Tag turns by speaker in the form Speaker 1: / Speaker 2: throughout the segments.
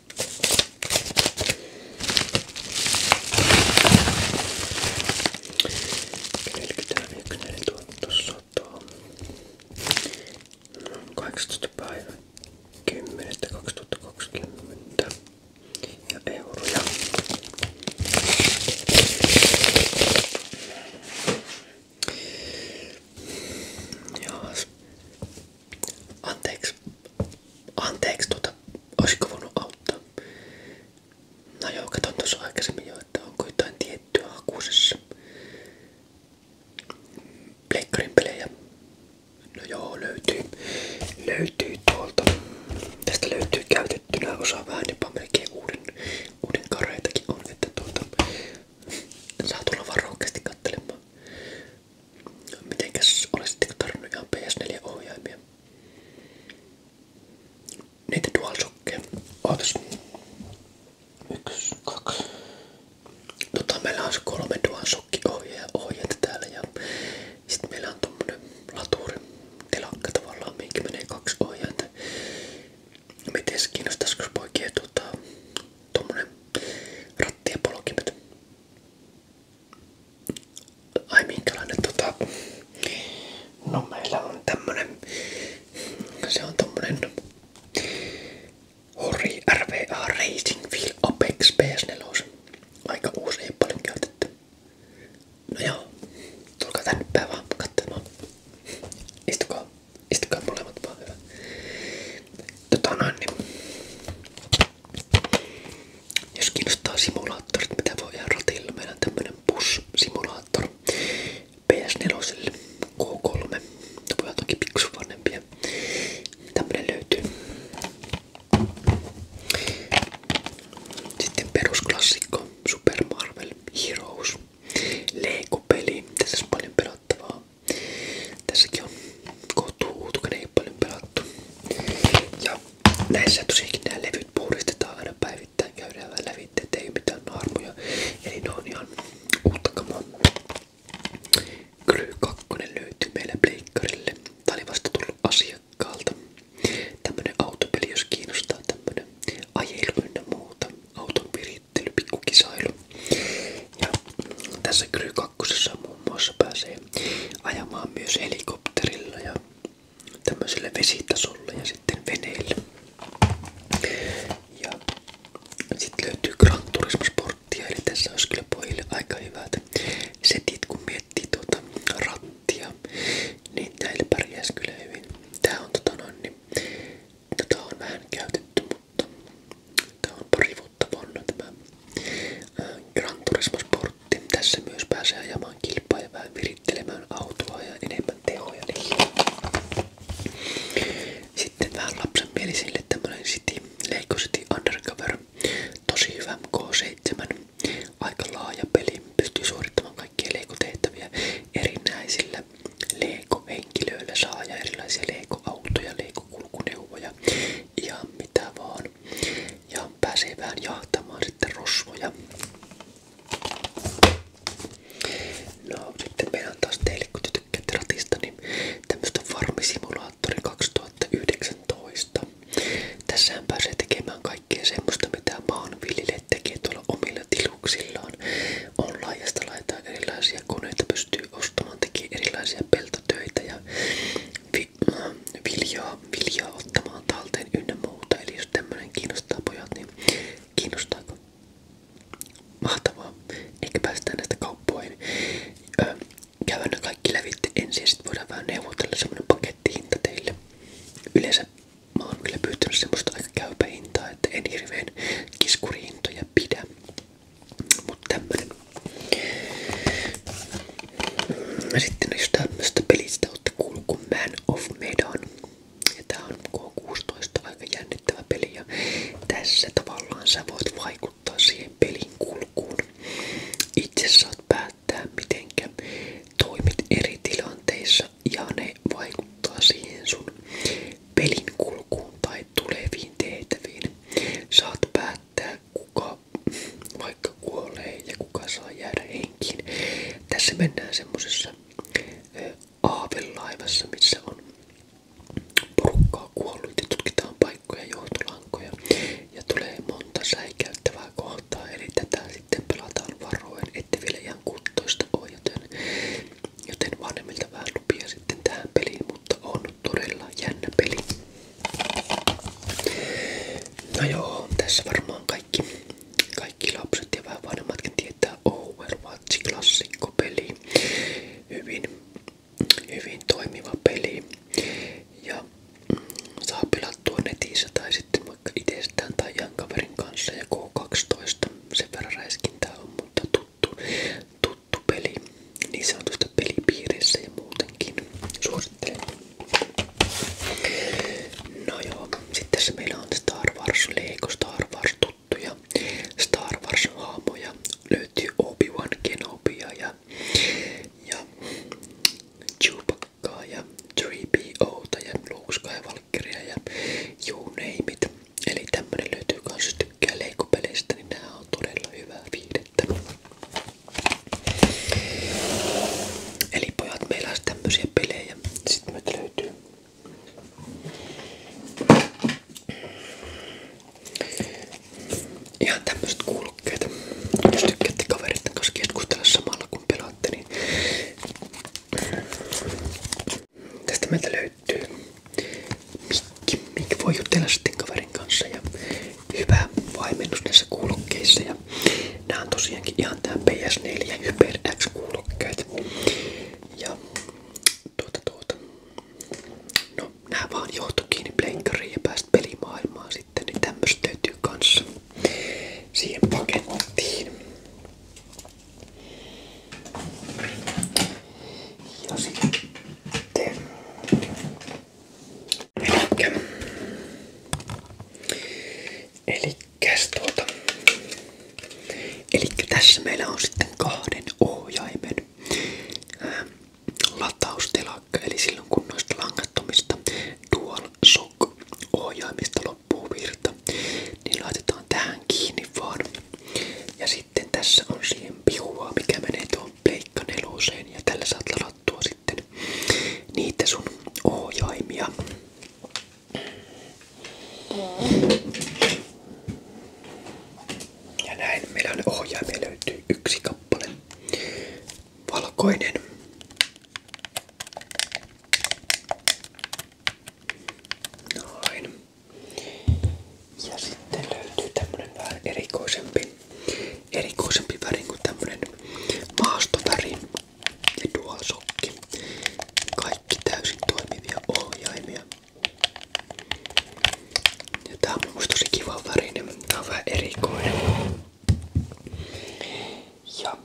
Speaker 1: 41 tuo. 18. päivä 10. 2020 ja euroja. Jaas. Anteeksi, anteeksi tuota, olisiko voinut auttaa? No joo, katon tuossa aikaisemmin jo, että onko jotain tiettyä hakusessa. Pleikkarin pelejä. No joo, löytyy. Löytyy tuolta. Tästä löytyy käytettynä osa vähän jopa melkein uuden, uuden kareitakin on, että tuota saa tulla varoikasti kattelemaan. Mitenkäs olisitteko niinku tarvinnut ihan PS4-ohjaimia? Niitä DualShockkeja. Ootas. Yksi, kaksi. Tota, meillä on se kolme DualShock-ohjeja ohjeita täällä ja sitten meillä on tommonen laturi telakka tavallaan, mihinkin menee kaksi ohjainta. Miten kiinnostaisiko poikien tota, tommonen lattiapolkimet. Ai minkälainen tota... No meillä on tämmönen... Se on tommonen... Hori RVA Racing Wheel Apex PS4. Aika uusi, ei paljon käytetty. No joo, tulkaa tänne päin vaan katsomaan. Istukaa. Istakaa molemmat vaan hyvä. Tota noin, niin. Jos kiinnostaa simulaattorit, mitä voi ihan ratilla, meillä on tämmönen bus-simulaattori PS4, K3, ne voi toki pikkusen vanhempia. Tämmönen löytyy. Sitten perusklassikko Super Marvel Heroes. Lego-peli. Tässä on paljon pelattavaa. Tässäkin on kohtuu uutukinen paljon pelattu. Ja näissä tosiaankin nämä levyt puhdistetaan aina päivittäin, käydään vähän lävitse, ettei mitään naarmuja. Eli ne on ihan uutta kamaa. Kry 2 löytyy meillä pleikkarille. Tää oli vasta tullut asiakkaalta. Tämmönen autopeli, jos kiinnostaa tämmönen ajelu ynnä muuta. Auton hiittely, pikkukisailu. Ja tässä Kry 2 muun muassa pääsee ajamaan myös helikopterilla ja tämmöiselle vesitasolle ja sitten veneille. Ja sitten löytyy Gran Turismo Sporttia, eli tässä olisi kyllä pojille aika hyvät setit, kun miettii tuota rattia, niin näille pärjäisi kyllä hyvin. Tää on tota noin, niin Tätä on vähän käytetty, mutta on pari vuotta Gran Turismo Sportti. Tässä myös pääsee ajamaan kilpaa ja vähän ja enemmän tehoja. Sitten vähän lapsenmielisille tämmönen City, Leiko City Undercover. Tosi hyvä K7. Aika laaja peli. Pystyy suorittamaan kaikkia leikotehtäviä erinäisillä leikohenkilöillä. Saa ja erilaisia leikoautoja, leiko matkakulkuneuvoja, ihan mitä vaan. Ja pääsee vähän jahtamaan sitten rosvoja. No sitten meillä on taas teille, kun te tykkäätte ratista, niin tämmöstä farmisimulaattori 2019. Tässähän pääsee tekemään kaikkea semmoista, mitä maanviljelijät tekee tiluksillaan on laajasta laitaan erilaisia koneita, pystyy ostamaan, tekee erilaisia peltotöitä ja vi, äh, viljaa, viljaa ottamaan talteen ynnä muuta. Eli jos tämmönen kiinnostaa pojat, niin kiinnostaako? Mahtavaa. Ehkä päästään näistä kauppoihin. Öö, käydään ne kaikki lävitte ensin ja sit voidaan vähän neuvotella semmonen pakettihinta teille. Yleensä mä oon kyllä pyytänyt semmoista aika käypä hintaa, että en hirveen kiskurihintoja pidä. Mutta tämmönen. Sitten jos tämmöstä pelistä olette kuullut kuin Man of Medan. Ja tää on K16 aika jännittävä peli ja tässä tavallaan sä voit vaikuttaa siihen pelin kulkuun. Itse saat päättää mitenkä toimit eri tilanteissa ja ne vaikuttaa siihen sun pelin kulkuun tai tai tuleviin tehtäviin. Saat päättää kuka vaikka kuolee ja kuka saa jäädä henkiin. Tässä mennään semmosessa aavelaivassa, missä on porukkaa kuollut ja tutkitaan paikkoja, johtolankoja ja tulee monta säikäyttävää kohtaa. Eli tätä sitten pelataan varoen, ettei vielä ihan kuttoista ole, joten Joten vanhemmilta vähän lupia sitten tähän peliin, mutta on todella jännä peli. No joo, tässä varmaan kaikki, kaikki lapset ja vähän vanhemmatkin tietää Overwatch klassikkopeli. Hyvin, hyvin toimiva peli. Ja mm, saa pelattua netissä tai sitten vaikka itsestään tai jan kaverin kanssa ja K12. Sen verran räiskintää on, mutta tuttu, tuttu peli niin sanotusta pelipiirissä ja muutenkin. Suosittelen. No joo, sitten se meillä on Star Wars Lego Star Wars tuttuja Star Wars haamoja. Löytyy Obi-Wan Kenobia ja, ja Chewbaccaa ja 3POta ja Luke Skywalkeria ja You Name It. Eli tämmönen löytyy kans, jos tykkää leikopeleistä, niin nämä on todella hyvää viihdettä. Eli pojat, meillä on tämmöisiä pelejä. Sitten meiltä löytyy ihan tämmöiset kuulokkeet. Jos tykkäätte kaveritten kanssa keskustella samalla kun pelaatte, niin Tästä meiltä löytyy mikki, mikki voi jutella sitten kaverin kanssa ja hyvä vaimennus näissä kuulokkeissa. Ja nämä on tosiaankin ihan tää PS4 ja Hyper X kuulokkeet. Ja tuota tuota, no nää vaan johto kiinni pleikkariin ja päästä pelimaailmaan sitten, niin tämmöstä löytyy kanssa siihen pakettiin. Ja sitten... Elikkä... Elikkäs tuota... Elikkä tässä meillä on sitten kahden ohjaimen ää, lataustelakka. Eli silloin kun noista langattomista dual shock ohjaimista loppuu virta, niin laitetaan tähän tähän kiinni vaan. Ja sitten tässä on siihen pihua, mikä menee tuon pleikka Ja tällä saat ladattua sitten niitä sun ohjaimia. Ja näin meillä on ohjaimia löytyy yksi kappale. Valkoinen. Ja sitten löytyy tämmönen vähän erikoisempi, erikoisempi väri kuin tämmönen maastoväri ja dualsokki. Kaikki täysin toimivia ohjaimia. Ja tää on musta tosi kiva värinen, niin mutta tää on vähän erikoinen. Ja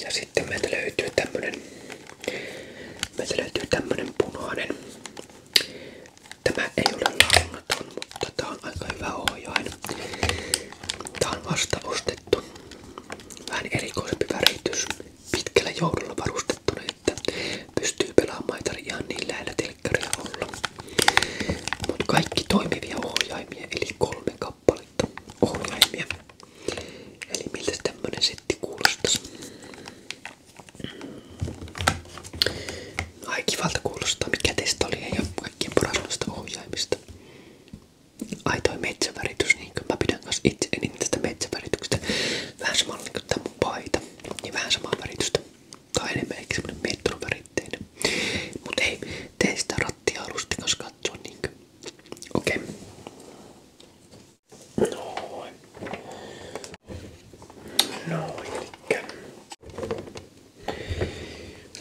Speaker 1: ja sitten meiltä löytyy tämmönen, punainen. Tämä ei ole launaton, mutta tää on aika hyvä ohjain. on vasta Vähän erikoisempi väritys. Pitkällä varustettuna, että pystyy pelaamaan ihan niin olla. Mut kaikki toimivia ohjaimia, eli kolme 3 kappaletta ohjaimia. Eli miltä tämmönen setti kuulostas? No, ai kivalta kuulostaa, mikä teistä oli ja kaikkien parasta ohjaimista. Ai toi metsäväritys, niin mä pidän kanssa itse eniten tästä metsävärityksestä. Vähän samalla niin kuin tää mun paita, niin vähän samaa väritystä. Tai enemmän ehkä semmonen metron väritteinen. Mut ei, tee sitä rattia alusti kanssa katsoa niinkö. Okei. Okay. Noin. Noin, elikkä.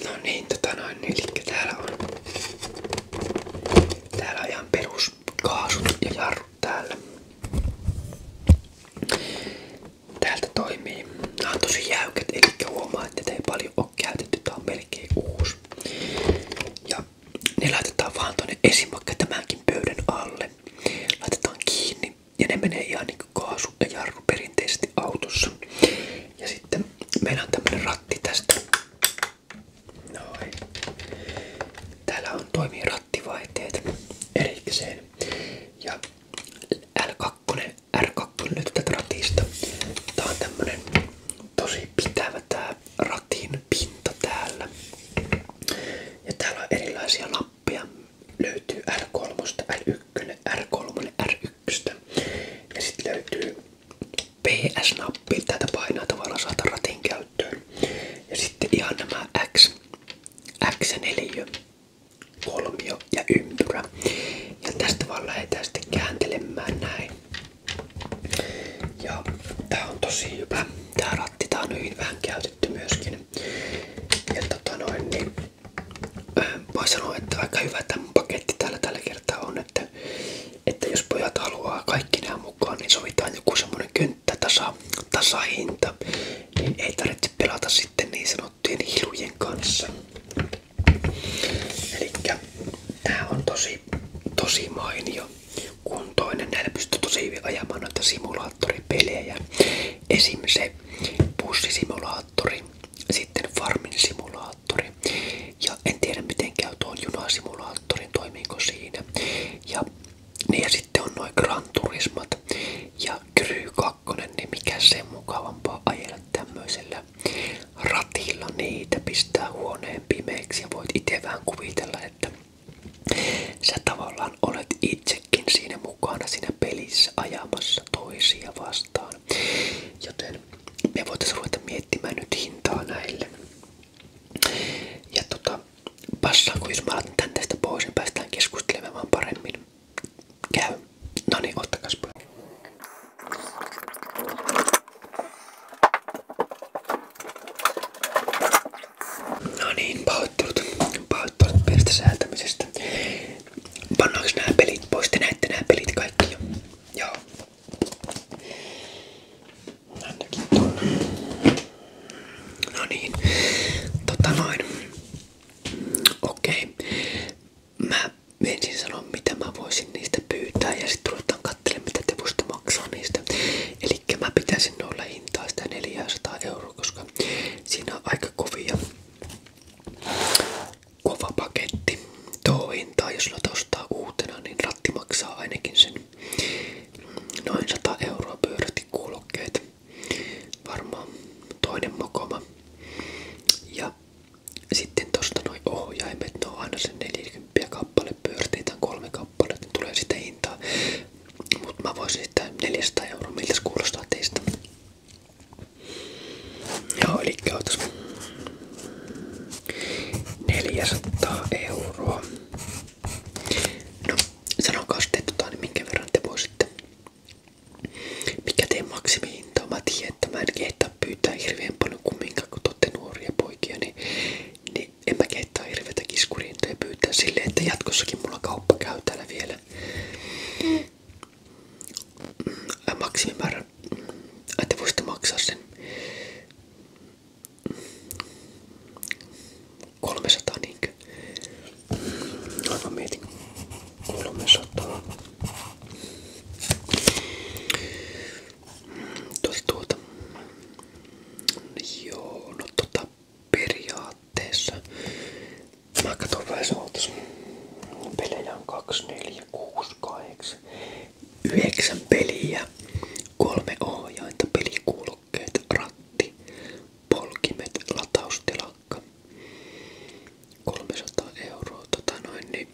Speaker 1: No niin, tota noin, elikkä täällä on. Täällä on ihan peruskaasut ja jarrut täällä. Täältä toimii. Nämä on tosi jäykät, eli huomaa, että ei paljon ole käytetty. Tää on melkein uusi. Ja ne laitetaan vaan tonne esimakka tämänkin pöydän alle. Laitetaan kiinni ja ne menee ihan niinku kaasu ja jarru perinteisesti autossa. Ja sitten meillä on tämmönen ratti tästä. Noin. Täällä on toimii rattivaihteet erikseen. Ja L2, R2 löytyy tätä ratista. Tää on tämmönen tosi pitävä tää ratin pinta täällä. Ja täällä on erilaisia nappeja. Löytyy R3, L1, R3, R1. Ja sitten löytyy PS-nappi. Tätä painaa tavallaan saada ratin käyttöön. Ja sitten ihan nämä X, X4, kolmio ja ympyrä. Ja tästä vaan lähdetään sitten kääntelemään näin. Ja tää on tosi hyvä. Tää ratti tää on hyvin vähän käytetty myöskin. Ja tota noin, niin voi sanoa, että aika hyvä tämä paketti täällä tällä kertaa on, että, että jos pojat haluaa kaikki nämä mukaan, niin sovitaan joku semmonen kynttä tasa, tasahinta, niin ei tarvitse pelata sitten niin sanottujen hilujen kanssa. Elikkä tää on tosi, tosi mainio kuntoinen. Näillä tosi hyvin ajamaan noita simulaattoripelejä. Esim. se bussisimulaattori, sitten farmin simulaattori. Ja en miten käy tuon junasimulaattorin, siinä. Ja, niin sitten on noin Gran ja Kry niin mikä sen mukavampaa ajella tämmöisellä niitä ratilla, niitä pistää huoneen pimeiksi ja voit itse vähän kuvitella, että sä tavallaan olet itsekin siinä mukana siinä pelissä ajamassa toisia vastaan. Joten me voitaisiin ruveta miettimään nyt hintaa näille. Ja tota, passaanko jos mä laitan tän tästä pois, niin päästään keskustelemaan paremmin. Käy. No niin, ottakas pois. No niin, pahoittelut. Pahoittelut pienistä säätämisestä. Pannaanko nämä pelit pois? Te näette nämä pelit kaikki jo. Joo. Ainakin tuonne. No niin. Tota noin. Okei mä ensin sanon mitä mä voisin niistä pyytää ja sitten ruvetaan katselemaan mitä te musta maksaa niistä. Eli mä pitäisin noilla hintaa sitä 400 euroa, koska siinä on aika kovia. Kova paketti. Tuo hintaa, jos noita ostaa uutena, niin ratti maksaa ainakin sen mm, noin 100 euroa pyörätikulokkeet. Varmaan toinen mokoma. Ja sitten tosta noin ohjaimet, ne on aina sen 40 kappale, pyörteitä kolme kappale, tulee sitä hintaa. Mutta mä voisin sitä 400 kuulostaa teistä. Joo, eli otas 400 euroa. No, sanokaa sitten, tota, niin minkä verran te voisitte. Mikä teidän maksimi hintaa. Niin, mä että pyytää hirveän paljon kumminkaan, kun te nuoria niin, niin en mä kehtaa hirveätä pyytää silleen, että jatkossakin mulla kauppa vielä. Mm. Mm, maksimimäärä, mm, että voisitte maksaa sen 300 mm, niinkö? Aivan mietin. 300. Tuota, tuota. Joo, no tota periaatteessa. Mä katson vähän sootas. Pelejä on 2, 4, 6, 8, 9 peliä, kolme ohjainta, pelikuulokkeet, ratti, polkimet, lataustilakka. 300 euroa, tota noin, niin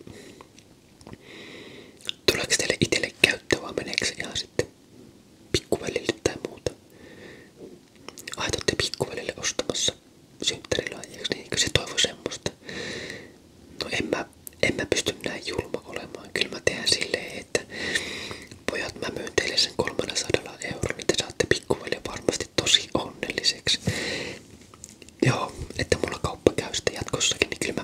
Speaker 1: Tuleeko teille itselle käyttöä vai meneekö ihan sitten pikkuvälille tai muuta? Aitoitte pikkuvälille ostamassa synttärilahjaksi, niin eikö se toivo semmoista? No en mä, en mä pysty näin julma olemaan. Kyllä mä teen silleen, että pojat mä myyn teille sen 300 eurolla, niin te saatte pikkuveljen varmasti tosi onnelliseksi joo, että mulla kauppa käy sitten jatkossakin, niin kyllä mä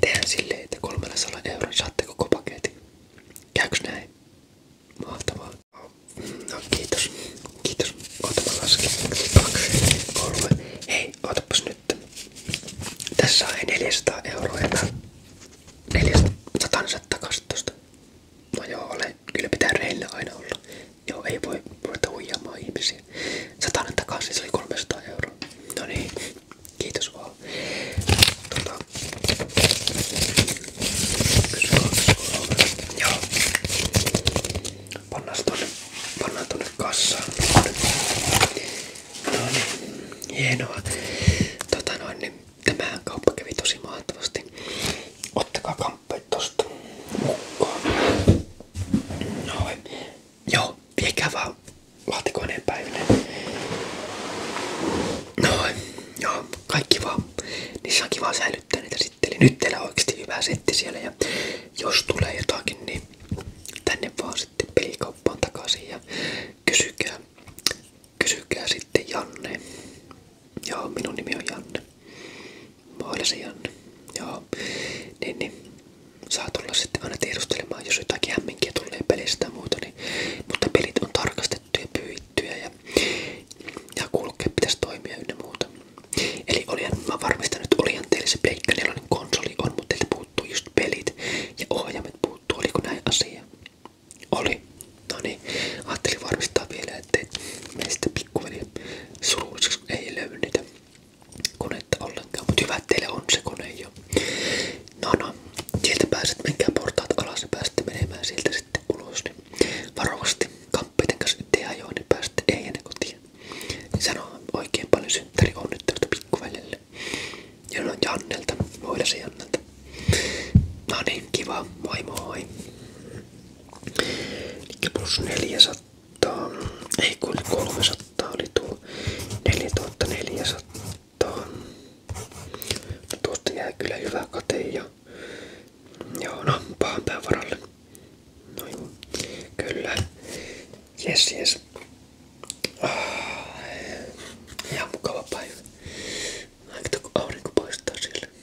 Speaker 1: teen silleen, että 300 euron saatte koko paketin. Käykö näin? Mahtavaa. No kiitos, kiitos. Oota mä lasken. Kaksi, kolme. Hei, ootapas nyt. Tässä on 400 euroa ja mä 400 takaisin tosta. No joo, ole. Kyllä pitää reillä aina olla. Joo, ei voi ruveta huijaamaan ihmisiä. Satanen takaisin, se oli 300 euroa. No niin, kiitos vaan. Tota, Joo. Pannaan tonne, pannaan tonne kassaan. No niin, hienoa. Tota noin, niin, tämä kauppa kävi tosi mahtavasti. Ottakaa kamppeet tosta mukaan. Noin. Joo, viekää vaan laatikoineen päiville. Noin. Joo, kaikki vaan. Niissä on kiva säilyttää niitä sitten. Eli nyt teillä on oikeasti hyvä setti siellä ja jos tulee jotakin, niin tänne vaan sitten pelikauppaan takaisin ja kysykää, kysykää sitten Janne. Joo, minun nimi on Janne. Mä olisin Janne. Joo. Niin, niin. Saa tulla sitten aina tiedustelemaan, jos jotakin hämminkiä tulee pelistä tai muuta. Niin. Mutta pelit on tarkastettuja, pyyttyjä ja, ja kulkee pitäisi toimia ynnä muuta. Eli olihan, mä varmistan, että olihan teillä se Pleikka 4 konsoli on, mutta teiltä puuttuu just pelit ja ohjaimet puuttuu. Oliko näin asia? Oli. No niin, ajattelin varmistaa vielä, ettei meistä pikkuveli surulliseksi ei löydy niitä konetta ollenkaan, mutta hyvä, että on se kone No no, sieltä pääset, menkää portaat alas ja menemään sieltä sitten ulos. Niin varovasti kamppeiden kanssa nyt ei ajoa, niin pääsette ei ennen kotiin. Sanoa oikein paljon synttäri onnittelusta pikkuvelille. Jolloin no, Jannelta, muilasi Jannelta. No niin, kiva, moi moi. Eli plus 300, ei kun 300 oli tuo 4400. No tuosta jää kyllä hyvä kate ja joo no pahan pään varalle. No joo, kyllä. Jes jes. Ah, ihan mukava päivä. Aika kun aurinko paistaa siellä.